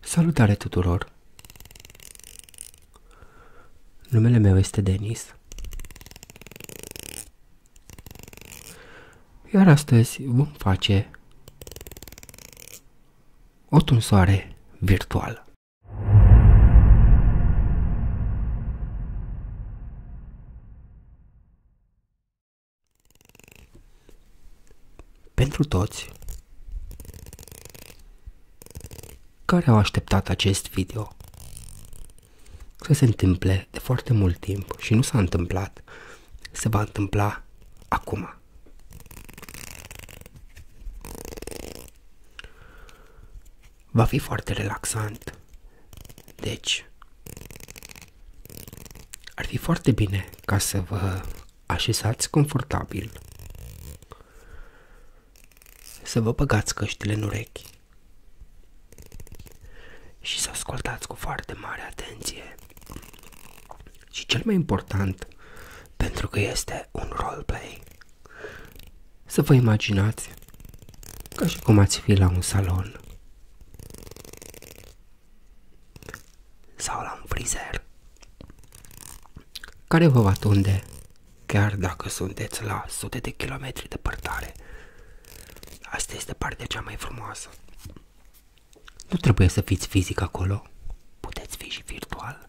Salutare tuturor! Numele meu este Denis. Iar astăzi vom face o tunsoare virtuală. Pentru toți care au așteptat acest video să se întâmple de foarte mult timp și nu s-a întâmplat, se va întâmpla acum. Va fi foarte relaxant. Deci, ar fi foarte bine ca să vă așezați confortabil, să vă băgați căștile în urechi și să ascultați cu foarte mare atenție. Și cel mai important, pentru că este un roleplay, să vă imaginați ca și cum ați fi la un salon sau la un frizer care vă va tunde chiar dacă sunteți la sute de kilometri de departare. Asta este partea cea mai frumoasă. Nu trebuie să fiți fizic acolo, puteți fi și virtual.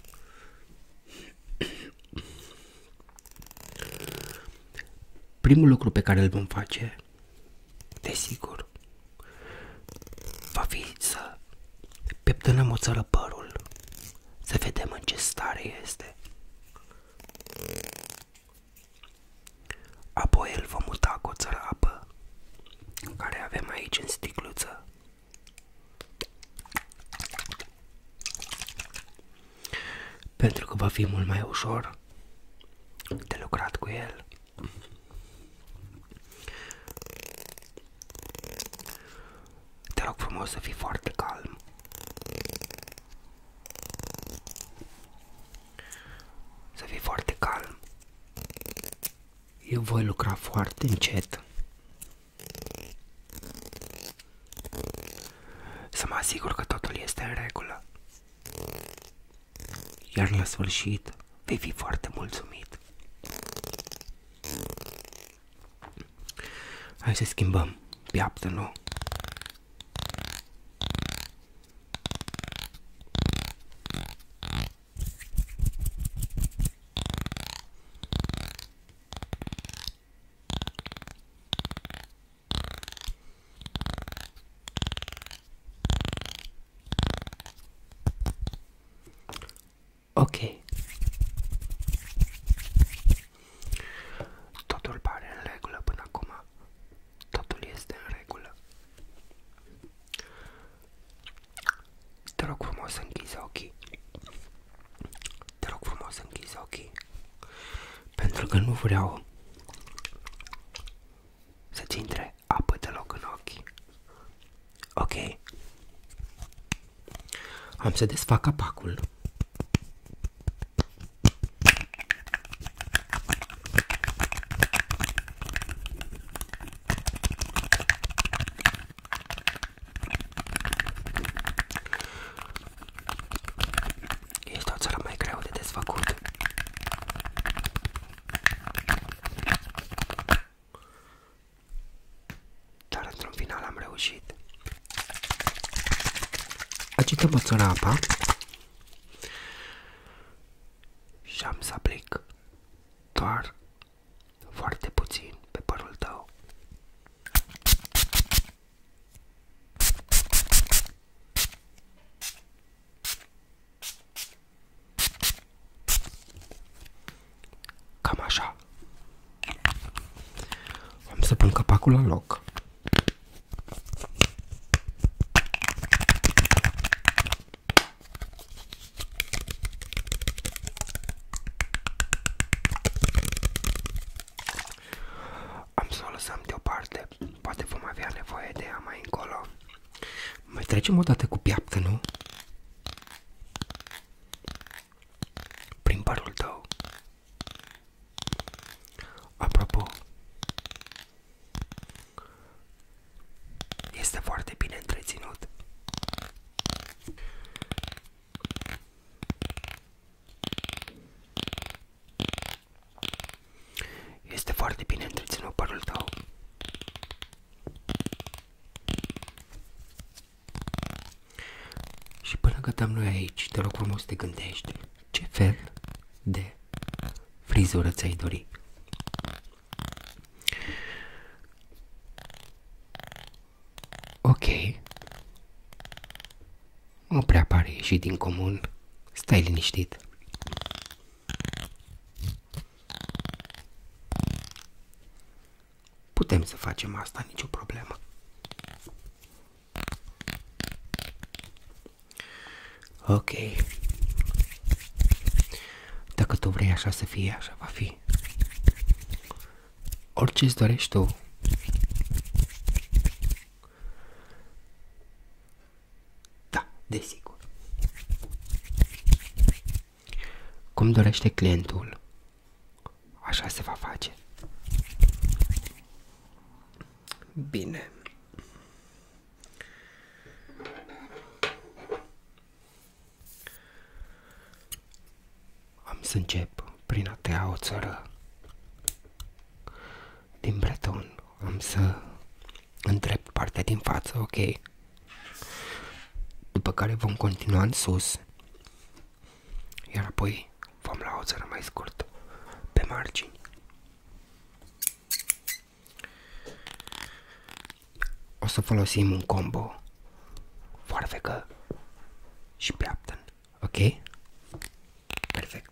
Primul lucru pe care îl vom face Desigur, va fi să peptănăm o țără părul, să vedem în ce stare este. Apoi îl vom muta cu o țără apă, care avem aici în sticluță. Pentru că va fi mult mai ușor de lucrat cu el. Te rog frumos să fii foarte calm. Să fii foarte calm. Eu voi lucra foarte încet. Să mă asigur că totul este în regulă iar la sfârșit vei fi foarte mulțumit. Hai să schimbăm piaptă nu. Ok. Totul pare în regulă până acum. Totul este în regulă. Te rog frumos să închizi ochii. Te rog frumos să închizi ochii. Pentru că nu vreau să-ți intre apă deloc în ochi. Ok. Am să desfac capacul. Este o țară mai greu de desfăcut dar într-un final am reușit. Agităm puțin apa și am să aplic doar foarte puțin pe părul tău. Cam așa. Am să pun capacul la loc. Am să o lăsăm deoparte, poate vom avea nevoie de ea încolo. Mai trecem o dată cu piaptă, nu? Prin părul Apropo, este foarte bine întreținut. Este foarte bine întreținut părul tău. Și până cât am noi aici, te rog frumos te gândești ce fel de frizură ți-ai dori. Ok. Nu prea pare ieșit din comun. Stai liniștit. Putem să facem asta, nicio problemă. Ok. Dacă tu vrei așa să fie, așa va fi. Orice îți dorești tu. Da, desigur. Cum dorește clientul, așa se va face. Bine. Am să încep prin a tăia o țără din breton. Am să îndrept partea din față, ok? După care vom continua în sus, iar apoi vom la o țără mai scurtă pe margini. O să folosim un combo foarfecă și piaptăn, ok? Perfect.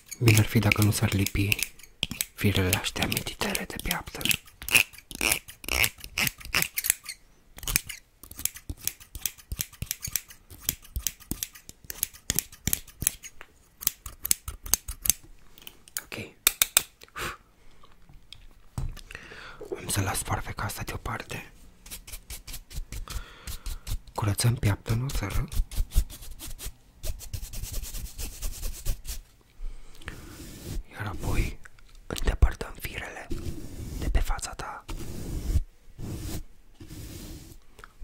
Bine ar fi dacă nu s-ar lipi firele astea mititele de piaptă. Ok. Am să las farfeca asta deoparte. Curățăm piaptă, nu iar apoi îndepărtăm firele de pe fața ta.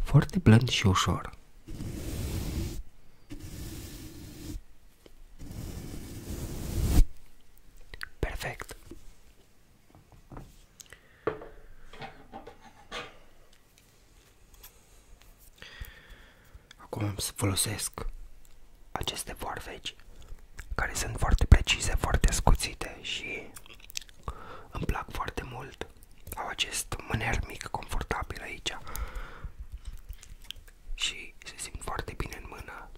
Foarte blând și ușor. Perfect. Acum am să folosesc aceste vorveci care sunt foarte precise, foarte scuțite și îmi plac foarte mult. Au acest mâner mic, confortabil aici și se simt foarte bine în mână.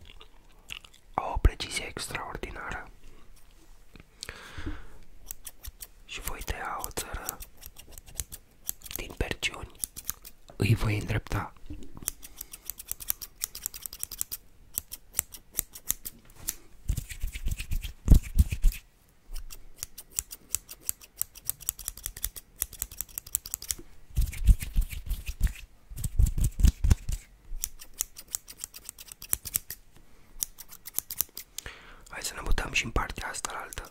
Au o precizie extraordinară. Și voi tăia o țără din perciuni îi voi îndrepta. Hai să ne mutăm și în partea asta la altă.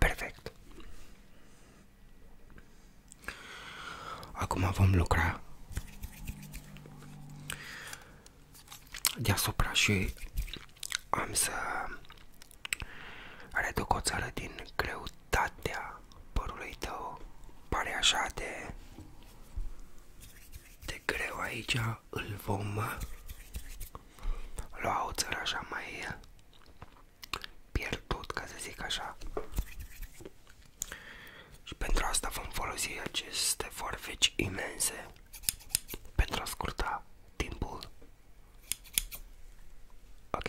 Perfect. Acum vom lucra deasupra și am să reduc o țară din greutate Calitatea părului tău pare așa de, de greu aici, îl vom lua o țără așa mai pierdut, ca să zic așa. Și pentru asta vom folosi aceste forfeci imense pentru a scurta timpul. Ok?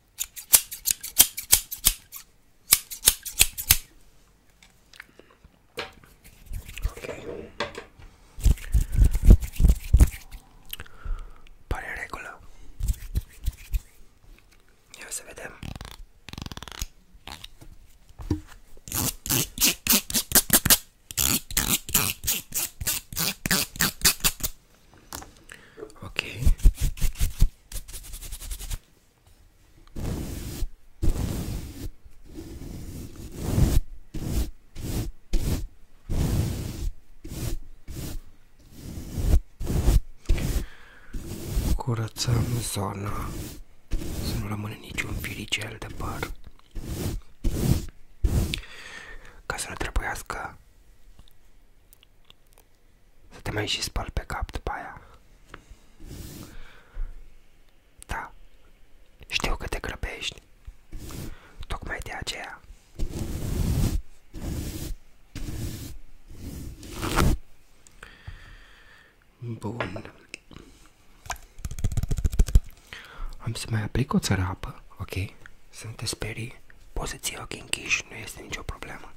Okay. Pare regulă. Ia să vedem. Ok. Curățăm zona să nu rămâne niciun firicel de păr ca să nu trebuiască să te mai și spăl pe cap după aia. Da, știu că te grăbești. Tocmai de aceea. Bun. Am să mai aplic o țărapă, ok? Să nu te sperii. Poți să ții ochii închiși, nu este nicio problemă.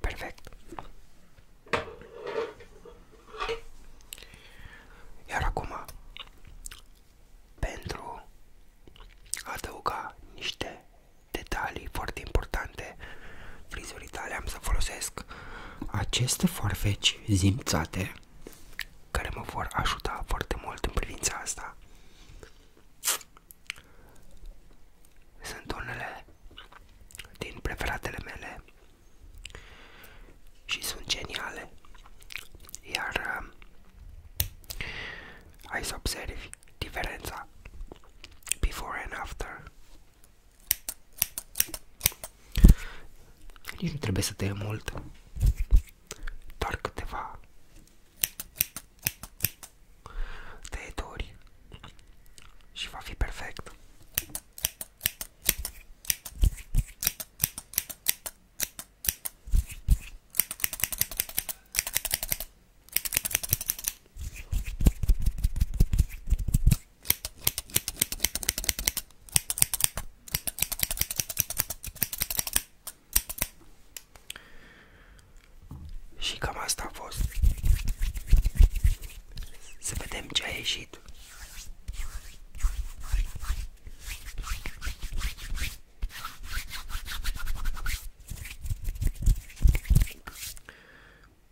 Perfect. Iar acum, pentru a adăuga detalii foarte importante frizuri tale, am să folosesc aceste farfeci zimțate care mă vor ajuta foarte mult în privința asta sunt unele din preferatele mele și sunt geniale iar uh, hai să observi diferența before and after nici nu trebuie să te mult, doar câteva tăieturi și va fi perfect. Și cam asta a fost. Să vedem ce a ieșit.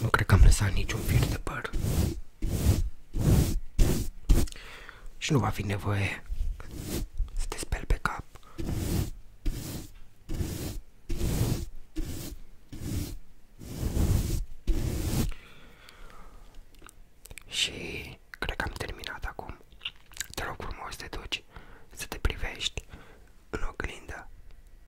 Nu cred că am lăsat niciun fir de păr. Și nu va fi nevoie să te speli pe cap. Și cred că am terminat acum. Te rog frumos să te duci, să te privești în oglindă